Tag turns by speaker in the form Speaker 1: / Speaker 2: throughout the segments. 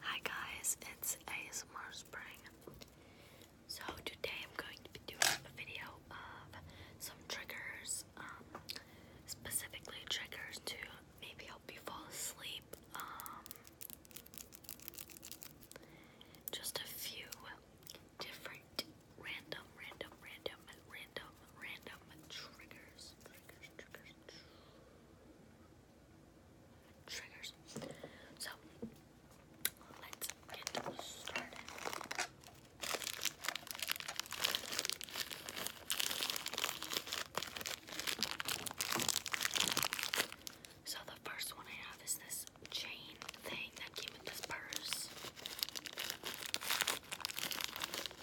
Speaker 1: Hi guys, it's ASMR Spring. So today I'm going to be doing a video of some triggers, um, specifically triggers to maybe help you fall asleep. Um, just a few different random, random, random, random, random Triggers, triggers. So let's get started. So the first one I have is this chain thing that came with this purse.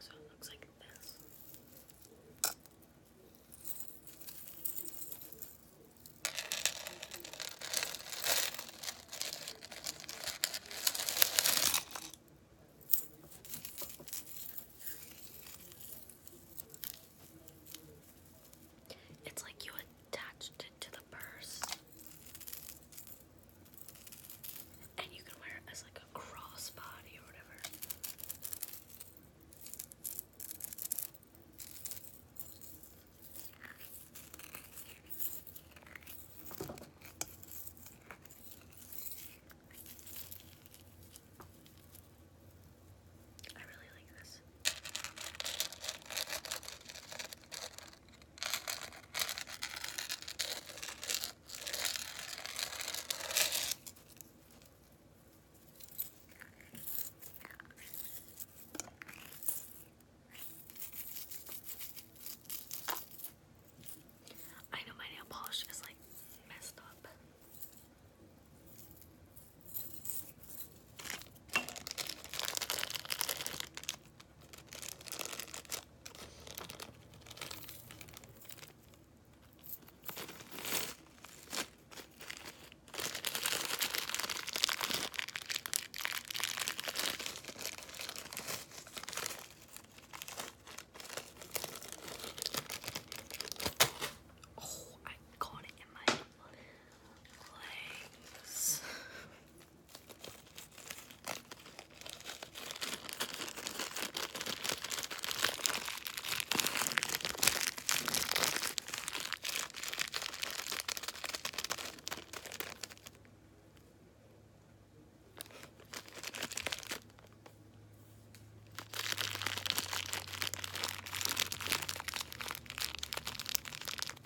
Speaker 1: So it looks like this. It's like you attached it to the purse. And you can wear it as like a crossbody or whatever. I really like this box. I know my nail polish is like messed up. Oh, I got it in my legs. Okay.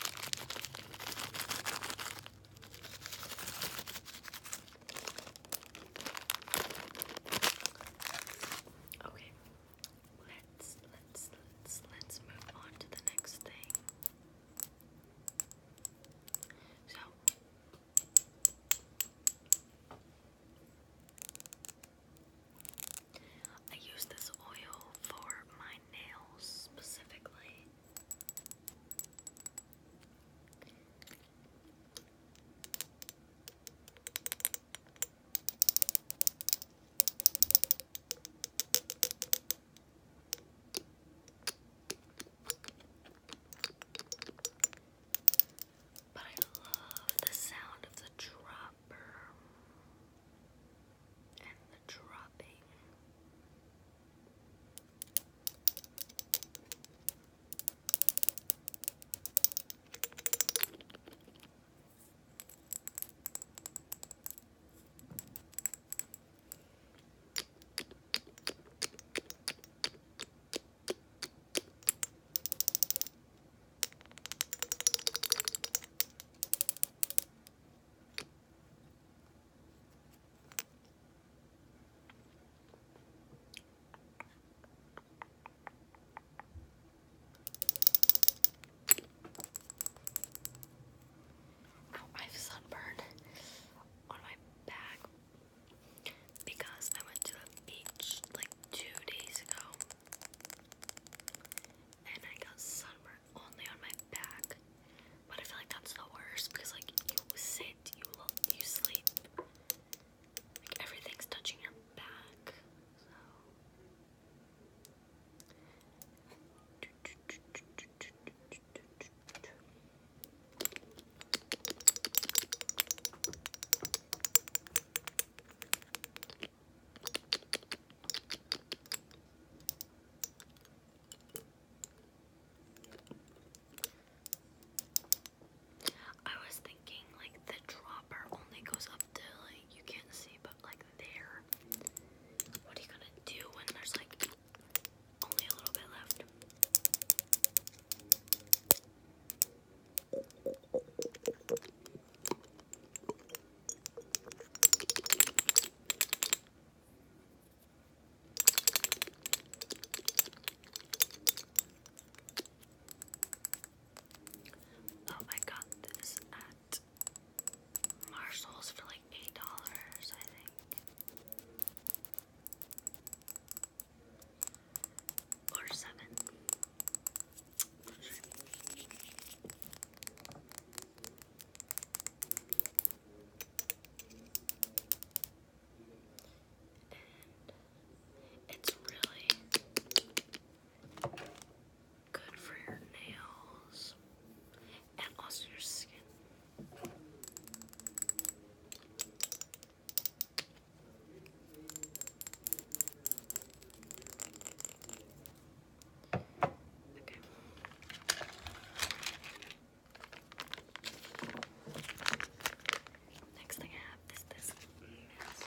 Speaker 1: Let's let's let's move on to the next thing. So I use this oil for my nails specifically. But I love the sound of the dropper and the dropping. Oh, I have sunburn on my back because I went to a beach like two days ago and I got sunburn only on my back. But I feel like that's the worst because like you sit, you look, you sleep, like everything's touching your back. I was thinking like the dropper only goes up to like you can't see but like there. What are you gonna do when there's like only a little bit left? Oh, I got this at Marshalls for like eight dollars, I think. Or seven. And it's really good for your nails and also your skin. Okay. Next thing I have is this mess.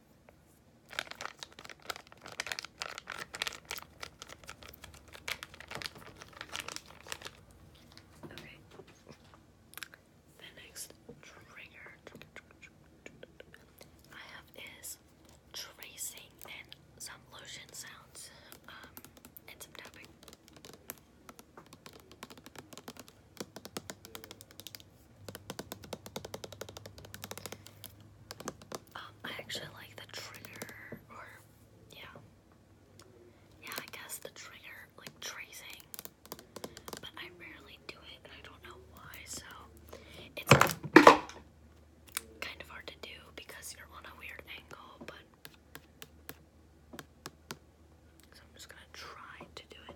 Speaker 1: Okay. The next trigger I have is tracing and some lotion sounds um, and some tapping. Um, I actually like the trigger, or yeah, yeah. I guess the trigger, like tracing, but I rarely do it, and I don't know why. So it's kind of hard to do because you're on a weird angle, but. So I'm just gonna try to do it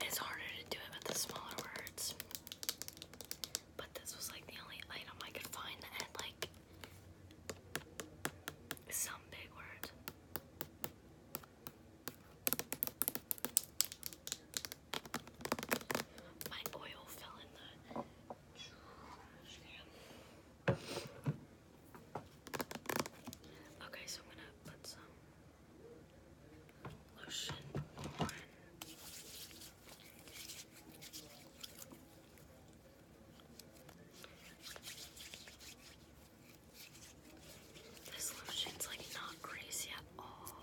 Speaker 1: It's harder to do it with the smaller words. But this was like the only item I could find that like some big word. My oil fell in the trash can. Okay, so I'm gonna put some Lotion on. This lotion's like not crazy at all.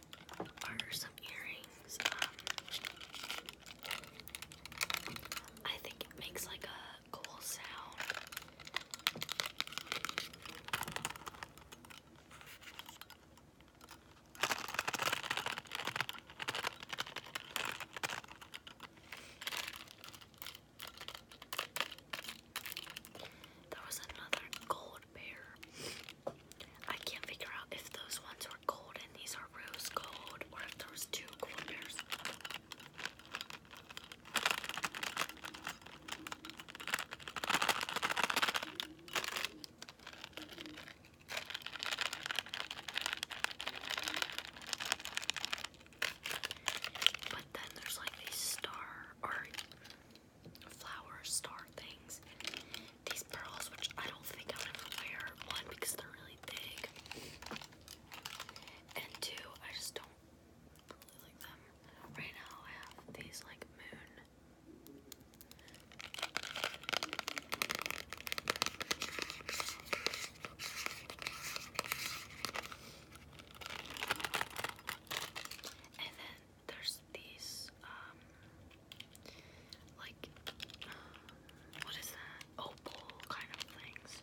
Speaker 1: are some earrings. Um, I think it makes like a cool sound. There was another gold bear. I can't figure out if those ones are gold and these are rose gold or if there two gold But then there's like these star or flower star things these pearls, which I don't think I'll ever wear. One, because they're really big. And two, I just don't really like them. Right now I have these like moon. And then there's these um, like um, what is that? Opal kind of things.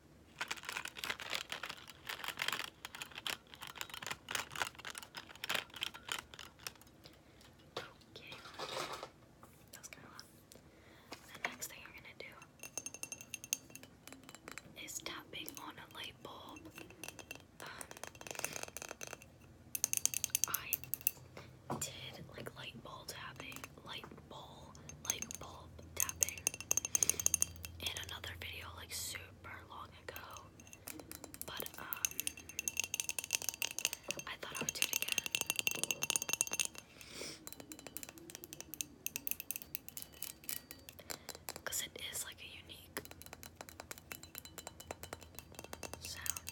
Speaker 1: Okay. That was kind of loud. The next thing you're gonna do is tapping on a light bulb. Um, I did like light bulb tapping, light bulb whole light bulb tapping in another video like super long ago. But um I thought I would do it again. Cause it is like a unique sound.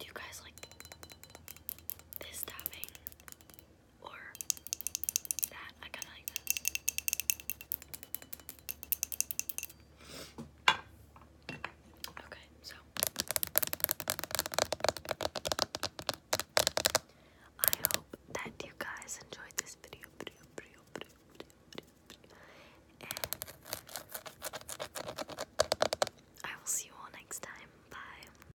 Speaker 1: Do you guys like this tapping? or that. I kind of like this. Okay, so I hope that you guys enjoyed this video. I will see you all next time. Bye.